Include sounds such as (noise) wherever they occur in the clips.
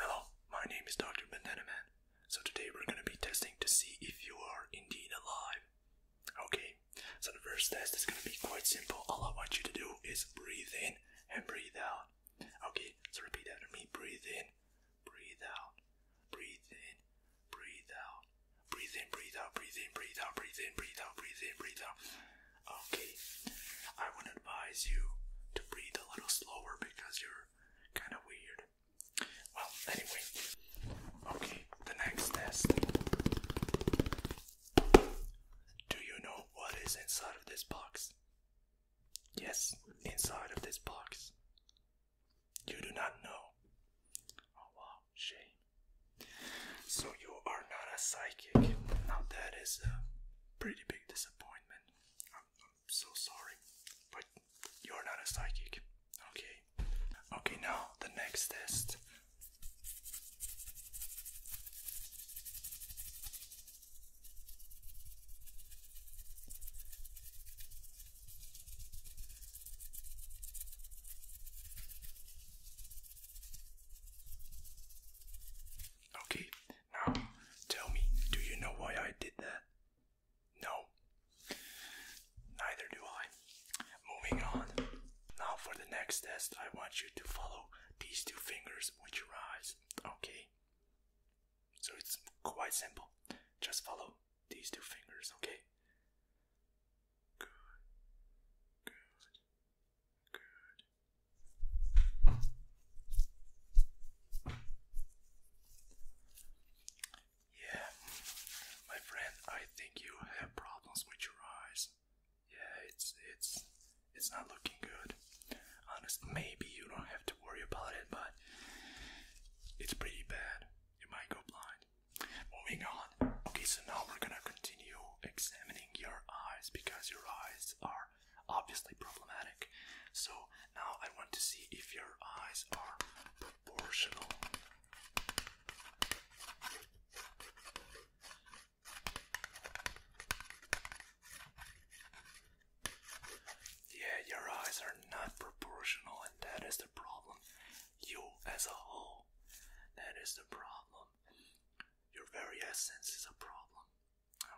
Hello, my name is Dr. Bandanaman. So today we're gonna be testing to see if you are indeed alive. Okay, so the first test is gonna be quite simple. All I want you to do is breathe in and breathe out. Okay, so repeat after me breathe in, breathe out, breathe in, breathe out, Breathe in, breathe out, breathe in, breathe out, breathe in, breathe out, breathe in, breathe out. Okay, I would advise you to breathe a little slower because you're kind of weird. Well, anyway, okay, the next test. Do you know what is inside of this box? Yes, inside of this box. You do not know. Oh shame. So you are not a psychic. Now that is a pretty big disappointment. I'm so sorry. But you're not a psychic. Okay. Okay, now the next test. Okay, now tell me, do you know why I did that? No. Neither do I. Moving on. Now for the next test, I want you to follow these two fingers with your eyes. Okay? So it's quite simple. Just follow these two fingers, okay? Yeah, my friend, I think you have problems with your eyes. Yeah, it's it's it's not looking good. Honest, maybe you don't have to worry about it, but it's pretty bad. You might go blind. Moving on. Okay, so now we're gonna continue examining your eyes because your eyes are obviously problematic. So now I want to see if your eyes are proportional. Yeah, your eyes are not proportional, and that is the problem you as a whole. That is the problem. Your very essence is a problem.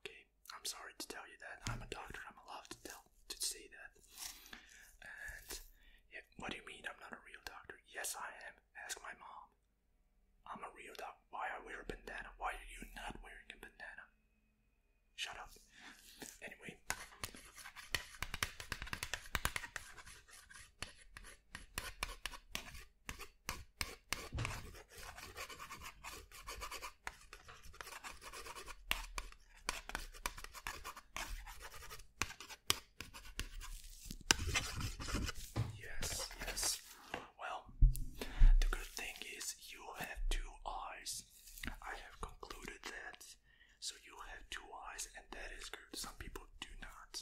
Okay, I'm sorry to tell you that. I'm a doctor. I'm allowed to tell to say that. And what do you mean I'm not a real doctor? Yes, I am. Ask my mom. I'm a real doctor. Why I wear a bandana? Why are you not wearing a bandana? Shut up. Anyway. Yes, yes. Well, the good thing is you have two eyes. I have concluded that so you have two eyes, and that is good. Some people do not.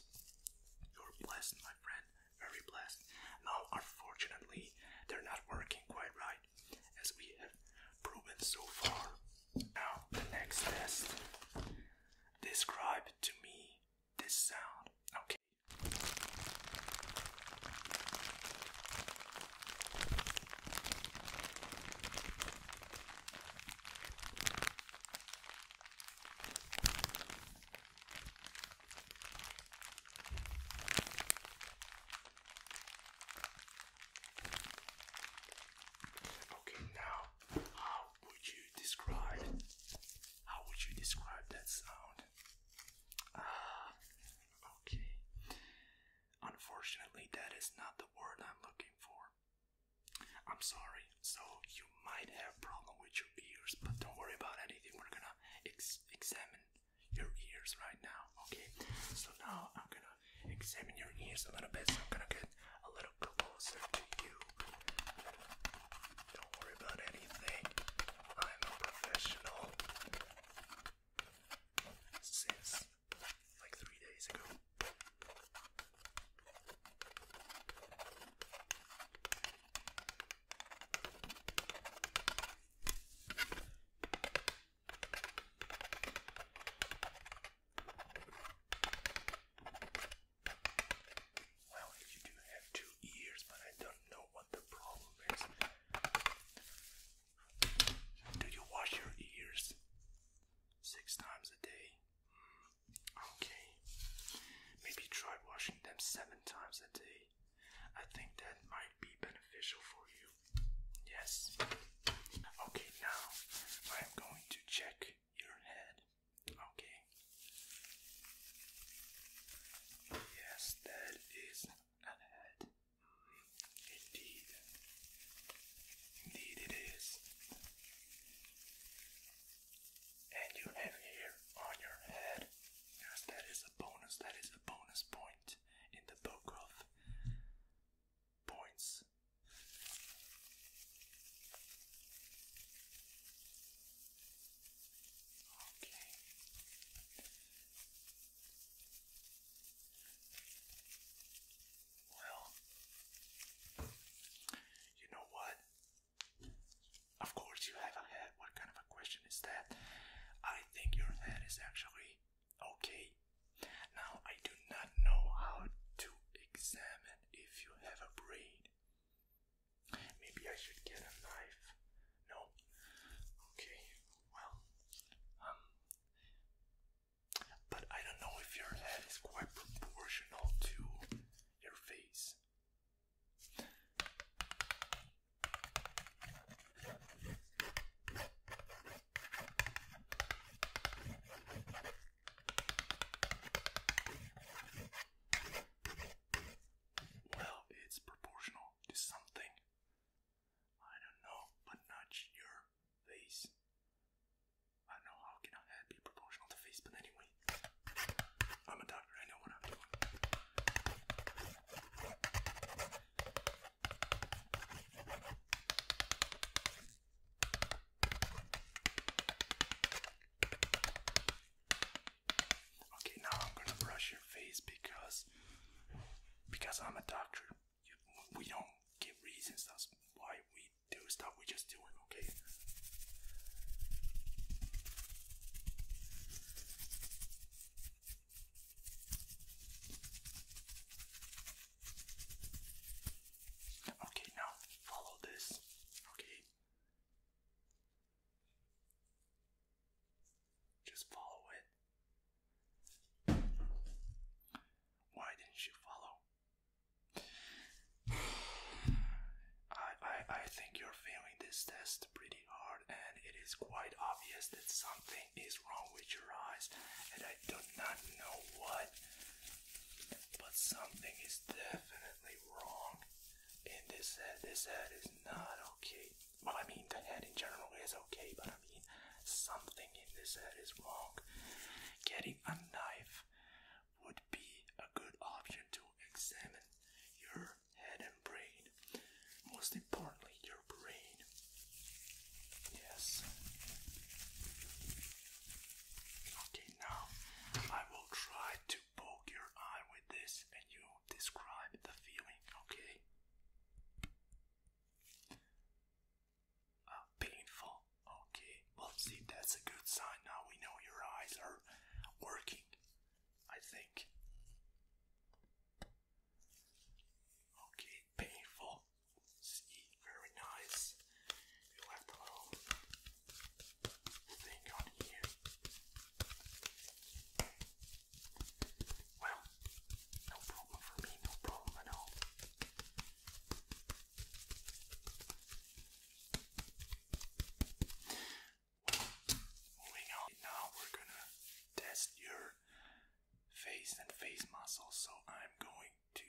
You're blessed, my friend. Very blessed. Now, unfortunately, they're not working quite right, as we have proven so far. Now, the next test. Describe to me this sound. Okay. Okay, now how would you describe how would you describe that sound? Ah, okay. Unfortunately, that is not the word I'm looking for. I'm sorry. So you might have problem with your ears, but don't worry about anything. We're gonna ex examine your ears right now. Okay. So now I'm gonna examine your ears a little bit. So I'm gonna get a little closer to you. Don't worry about anything. I'm a professional. Since like three days ago. Well, you do have two ears, but I don't know what the problem is. Do you wash your ears six times a day? Mm, okay. Maybe try washing them seven times a day. I think that might be beneficial for you. Yes. Okay, now I am going to check your head. Okay. Yes, that is a head. Indeed. Indeed it is. And you have on your head, yes, that is a bonus, that is a bonus point in the book of points. Okay. Well, you know what? Of course, you have a head. What kind of a question is that? I think your head is actually okay. Now, I do not know how to examine if you have a brain. Maybe I should get a knife. No. Okay. Well, um, but I don't know if your head is quite proportional to your face. Well, it's proportional to something. I don't know, but nudge your face. I know how can a head be proportional to face, but anyway. I'm a doctor, I know what I'm doing. Okay, now I'm gonna brush your face because because I'm a doctor. we don't give reasons. That's why we do stuff. We just do it. Okay. Okay, now follow this. Okay. Just follow it. Why didn't you follow? I, I I think you're failing this test pretty hard and it is quite obvious that something is wrong with your eyes and I do not know what but something is definitely wrong in this head. This head is not okay. Well, I mean, the head in general is okay, but I mean, something in this head is wrong. Getting a knife would be a good option to examine your head and brain. Most importantly, your brain. Yes. Okay, now I will try to poke your eye with this and you describe the feeling, okay? Ah, painful, okay. Well, see, that's a good sign. Now we know your eyes are working, I think. Okay, painful. See, very nice. You left a little thing on here. Well, no problem for me, no problem at all. Well, moving on, now we're gonna test your face and face muscles, so I'm going to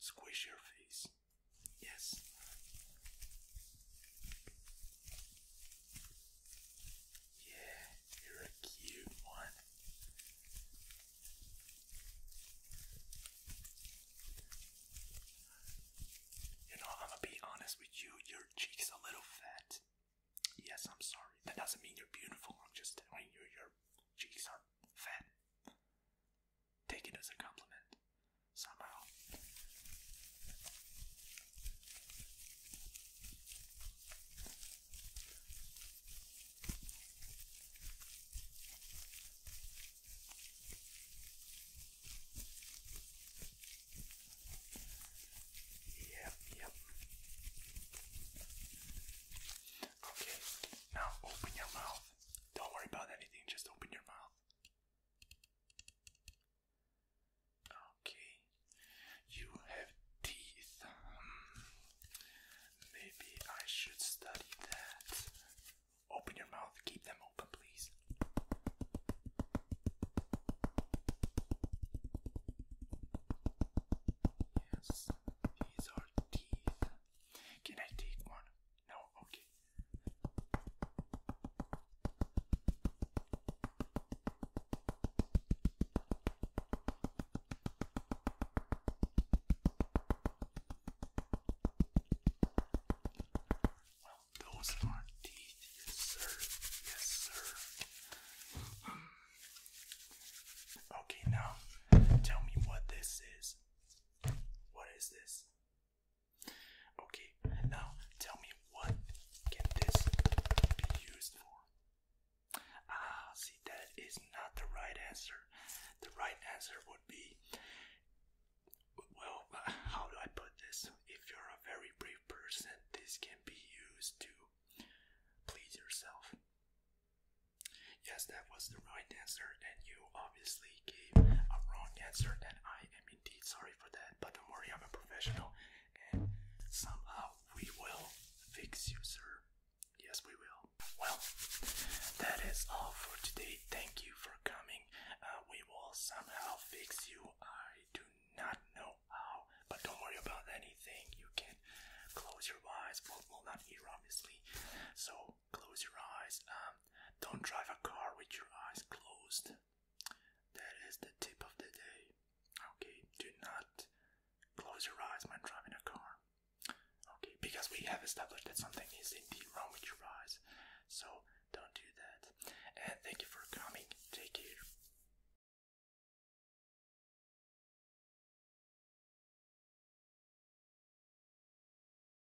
squish your face. Yes. Yeah, you're a cute one. You know, I'm gonna be honest with you, your cheeks a little fat. Yes, I'm sorry. That doesn't mean you're beautiful. I'm just telling you your cheeks are fat. Take it as a compliment somehow. Yep, yep. Okay, now open your mouth. Don't worry about anything, just open your mouth. Okay, you have teeth. Hmm. maybe I should study that. Open your mouth, keep them open, please. Yes, these are teeth. Can I take one? No, okay those are teeth, yes sir, yes sir. Okay, now tell me what this is. What is this? Okay, now tell me what can this be used for? Ah, see, that is not the right answer. The right answer would be well, (laughs) how do I put this? If you're a very brave person, this can be used to please yourself. Yes, that was the right answer, and you obviously gave a wrong answer, and I am indeed sorry for that, but don't worry, I'm a professional, and somehow we will fix you, sir. Yes, we will. Well, that is all for today. Thank you for coming. Uh, we will somehow fix you. I do not know how, but don't worry about anything. You can close your eyes. Well, well not here, obviously. So close your eyes. Um, don't drive a car with your eyes closed. That is the tip of the day. Okay, do not close your eyes when driving a car. Okay, because we have established that something is indeed wrong with your eyes. So don't do that. And thank you for coming. Take care.